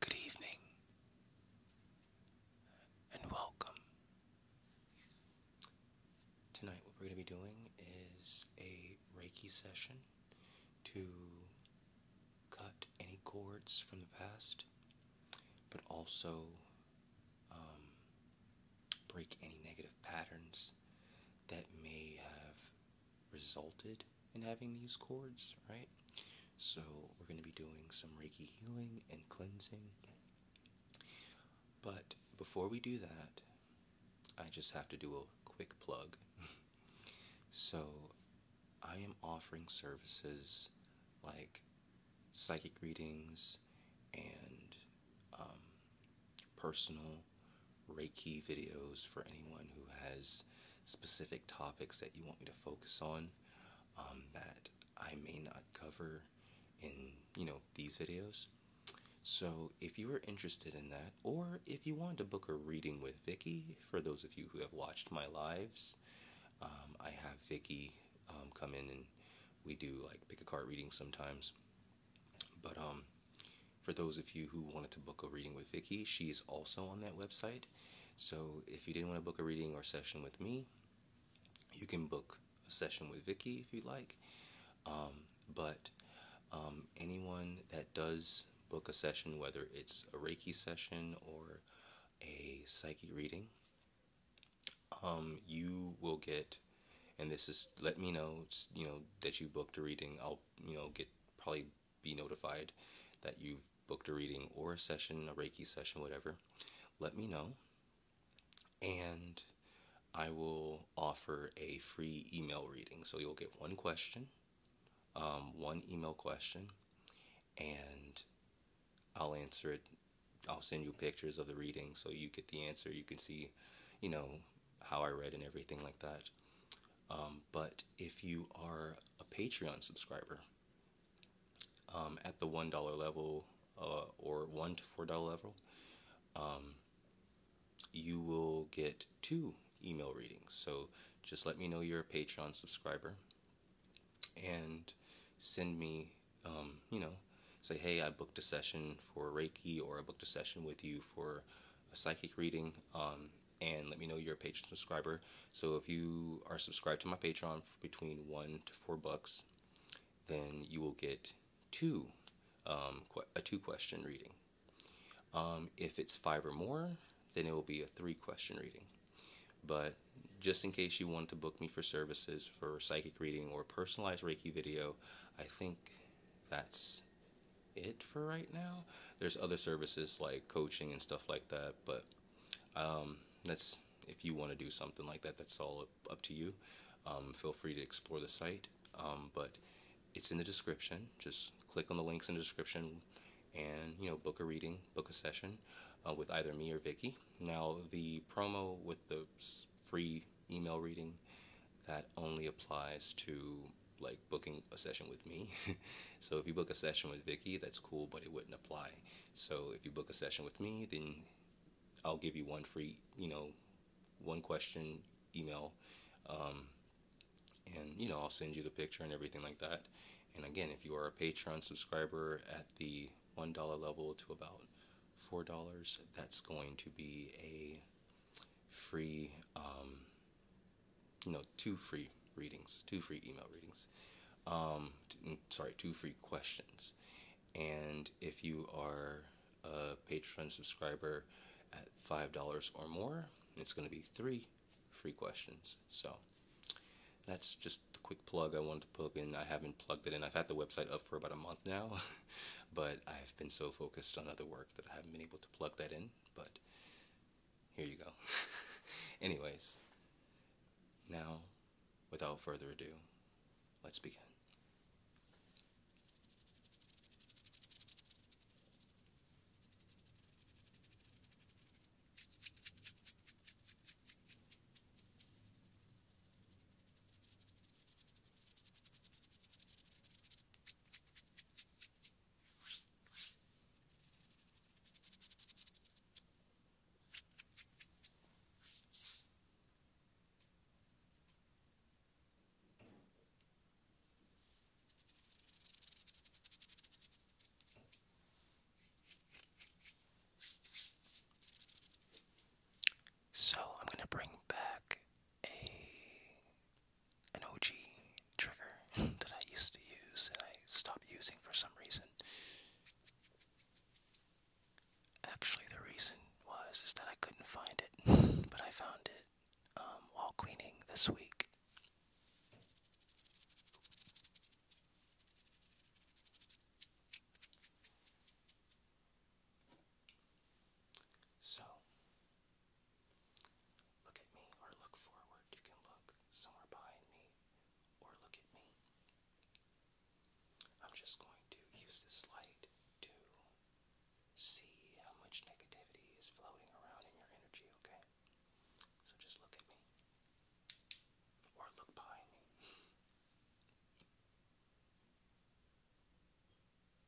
Good evening and welcome. Tonight, what we're going to be doing is a Reiki session to cut any cords from the past, but also um, break any negative patterns that may have resulted in having these cords, right? So we're going to be doing some Reiki healing and cleansing. But before we do that, I just have to do a quick plug. so I am offering services like psychic readings and um, personal Reiki videos for anyone who has specific topics that you want me to focus on um, that I may not cover in you know these videos. So if you are interested in that, or if you want to book a reading with Vicky, for those of you who have watched my lives, um, I have Vicky um, come in and we do like pick a card readings sometimes. But um, for those of you who wanted to book a reading with Vicky, she's also on that website. So if you didn't want to book a reading or session with me, you can book a session with Vicky if you'd like. Um, but um, anyone that does book a session, whether it's a Reiki session or a psychic reading, um, you will get, and this is let me know, you know that you booked a reading. I'll you know get probably be notified that you've booked a reading or a session, a Reiki session, whatever, let me know. And I will offer a free email reading. So you'll get one question, um, one email question, and I'll answer it. I'll send you pictures of the reading so you get the answer. You can see, you know, how I read and everything like that. Um, but if you are a Patreon subscriber um, at the $1 level uh, or 1 to $4 level, um, you will get two email readings. So just let me know you're a Patreon subscriber and send me, you know, say, hey, I booked a session for Reiki or I booked a session with you for a psychic reading and let me know you're a Patreon subscriber. So if you are subscribed to my Patreon for between one to four bucks, then you will get two um, a two question reading. Um, if it's five or more, then it will be a three question reading. But just in case you want to book me for services for psychic reading or personalized Reiki video, I think that's it for right now. There's other services like coaching and stuff like that, but um, that's if you want to do something like that, that's all up, to you. Um, feel free to explore the site, um, but it's in the description. Just click on the links in the description and you know book a reading, book a session uh, with either me or Vicky. Now the promo with the free email reading that only applies to like booking a session with me. so if you book a session with Vicky, that's cool, but it wouldn't apply. So if you book a session with me, then I'll give you one free, you know, one question email, um, and you know I'll send you the picture and everything like that. And again, if you are a Patreon subscriber at the one dollar level to about four dollars, that's going to be a free um, you know, two free readings, two free email readings. Um, sorry, two free questions. And if you are a Patreon subscriber at $5 or more, it's going to be three free questions. So that's just a quick plug I wanted to plug in. I haven't plugged it in. I've had the website up for about a month now, but I've been so focused on other work that I haven't been able to plug that in. But here you go. Anyways, now, without further ado, let's begin. So I'm going to bring back a an OG trigger that I used to use and I stopped using for some reason. Actually, the reason was is that I couldn't find it, but I found it um, while cleaning this week. So, Look at me or look forward. You can look somewhere behind me or look at me. I'm just going to use this light to see how much negativity is floating around in your energy, okay? So just look at me. Or look behind me.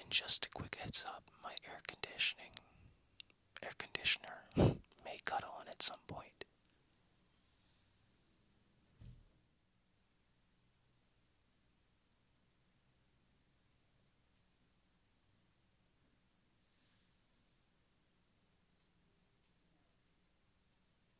And just a quick heads up, my air conditioning air conditioner may cut on at some point.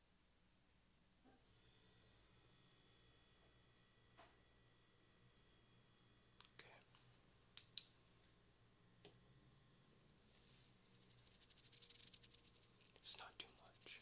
Okay. It's not too much.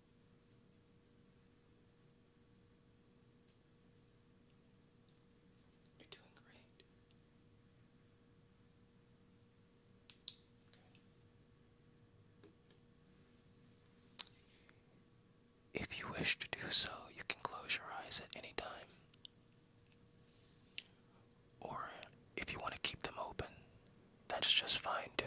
You're doing great. If you wish to do so, you can close your eyes at any time. Or if you want to keep them open, that's just fine too.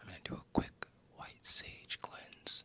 I'm going to do a quick white sage cleanse.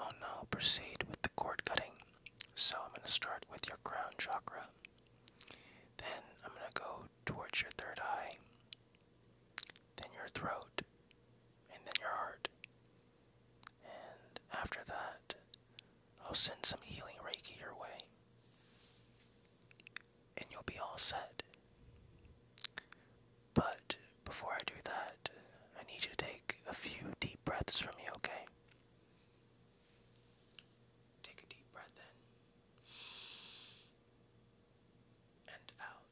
Oh no, proceed with the cord cutting. So I'm going to start with your crown chakra. Then I'm going to go towards your third eye, then your throat, and then your heart. And after that, I'll send some healing Reiki your way. And you'll be all set. But before I do that, I need you to take a few deep breaths from me, okay? Take a deep breath in and out.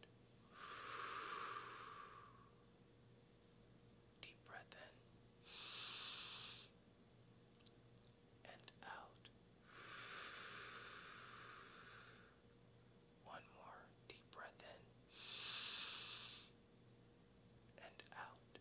Deep breath in and out. One more deep breath in and out.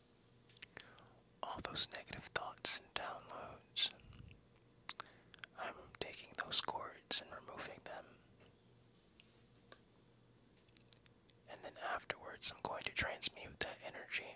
all those negative thoughts and downloads. I'm taking those cords and removing them. And then afterwards, I'm going to transmute that energy.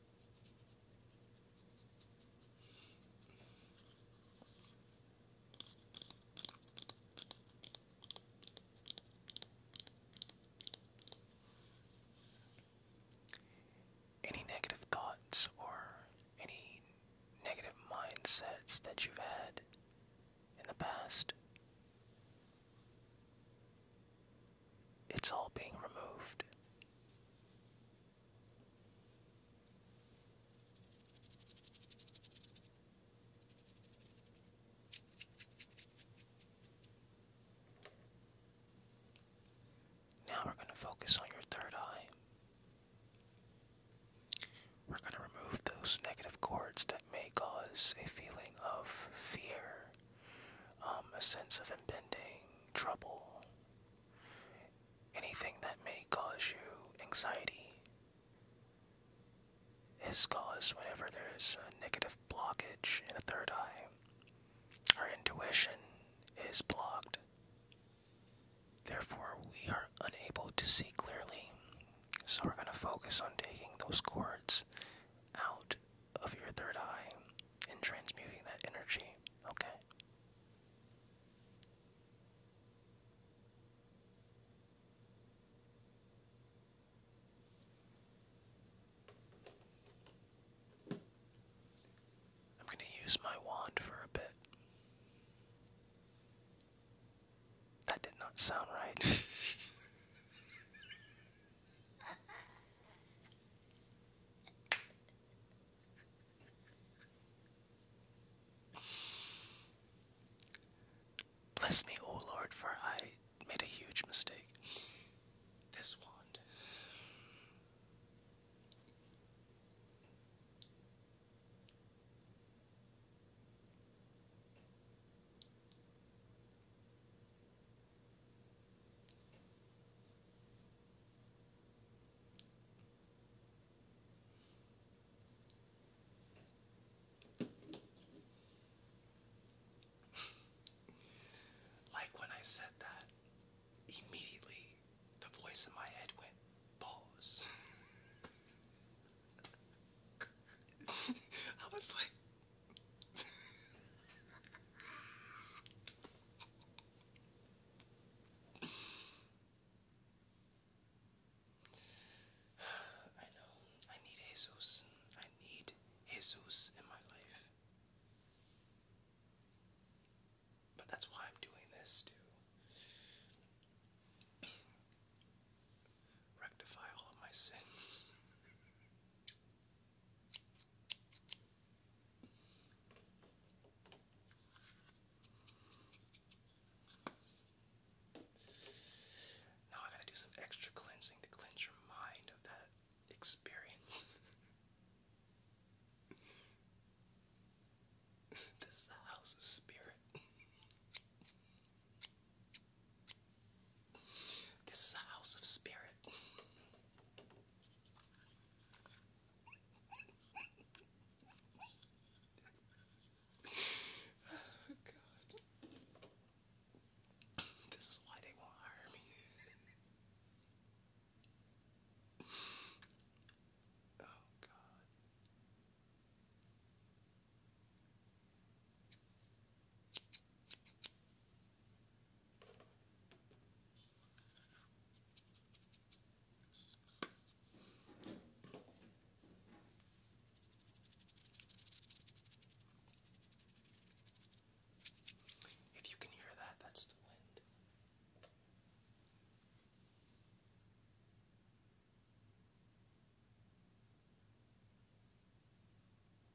Any negative thoughts or any negative mindsets that you've had in the past? It's all being removed. Now we're going to focus on your third eye. We're going to remove those negative cords that may cause a feeling of fear, um, a sense of impending trouble, Anything that may cause you anxiety is caused whenever there's a negative blockage in the third eye. Our intuition is blocked. Therefore, we are unable to see clearly. So, we're going to focus on taking those cords out of your third eye and transmuting that energy, okay? I'm going to use my wand for a bit. That did not sound right. Bless me, O Lord, for I made a huge mistake. This wand like when I said that, immediately the voice in my head went, pause. I was like. I know. I need Jesus. I need Jesus in my life. But that's why I'm doing this to rectify all of my sins. Now I gotta do some extra cleansing to cleanse your mind of that experience. this is the house of spirit. this is a house of spirit. oh God. This is why they won't hire me. oh God. If you can hear that, that's the wind. Okay.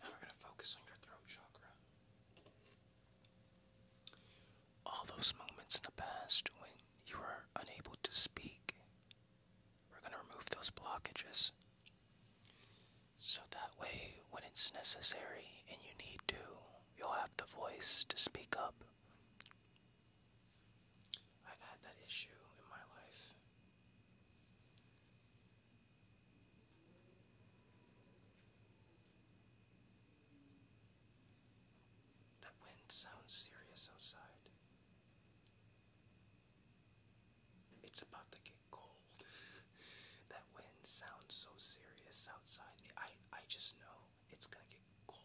Now we're going to focus on your throat chakra all those moments in the past when you were unable to speak. We're going to remove those blockages. So that way, when it's necessary and you need to, you'll have the voice to speak up. I've had that issue in my life. That wind sounds serious outside. It's about to get cold. that wind sounds so serious outside. I I just know it's gonna get cold.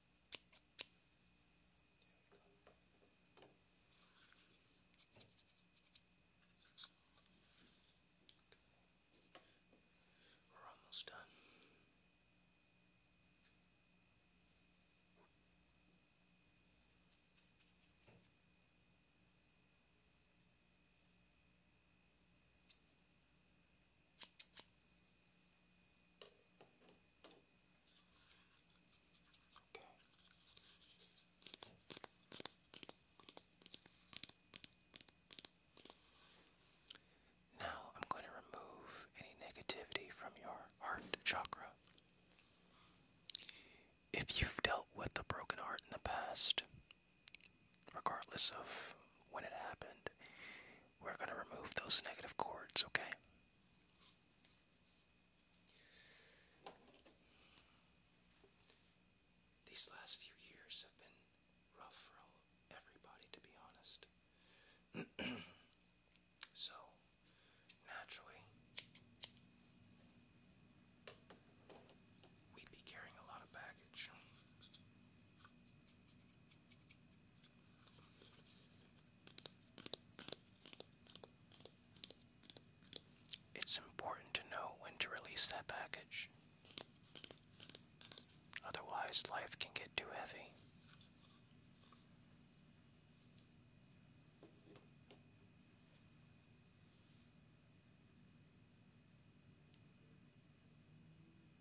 We're almost done. Now I'm going to remove any negativity from your heart chakra. If you've dealt with a broken heart in the past, regardless of when it happened, we're going to remove those negative cords, okay? These last few years have been rough for everybody, to be honest. so, naturally, we'd be carrying a lot of baggage. It's important to know when to release that package. Otherwise, life can get too heavy.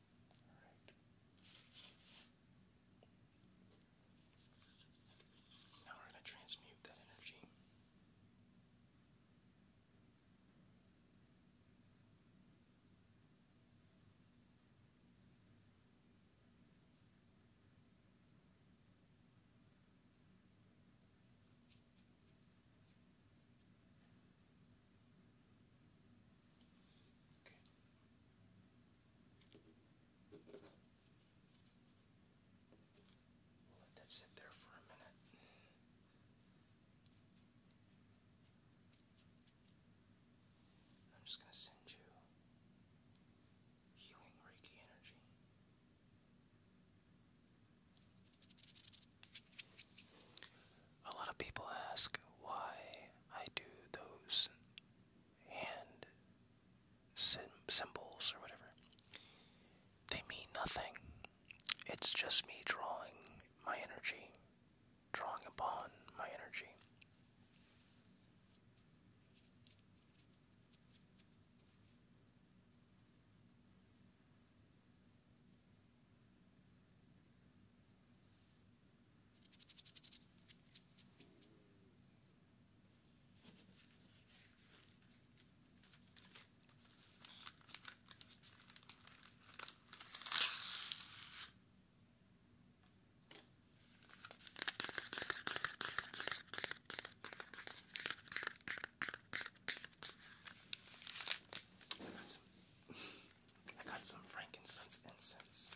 All right. Now we're going to transmute that energy. Okay let that sit there for a minute. I'm just going to send you healing Reiki energy. A lot of people ask why I do those hand symbols or whatever. They mean nothing. It's just me drawing my energy, drawing upon my energy. I got some, I incense.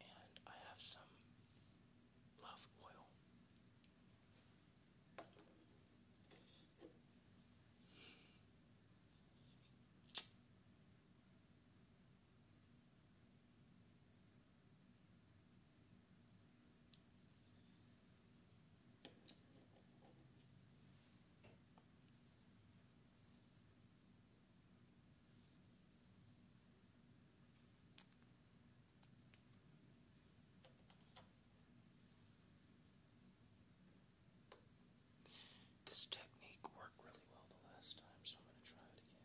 And I have some love oil. This technique worked really well the last time, so I'm going to try it again.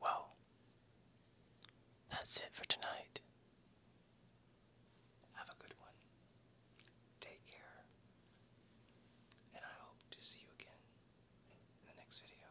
Well, that's it for tonight. Have a good one. Take care. And I hope to see you again in the next video.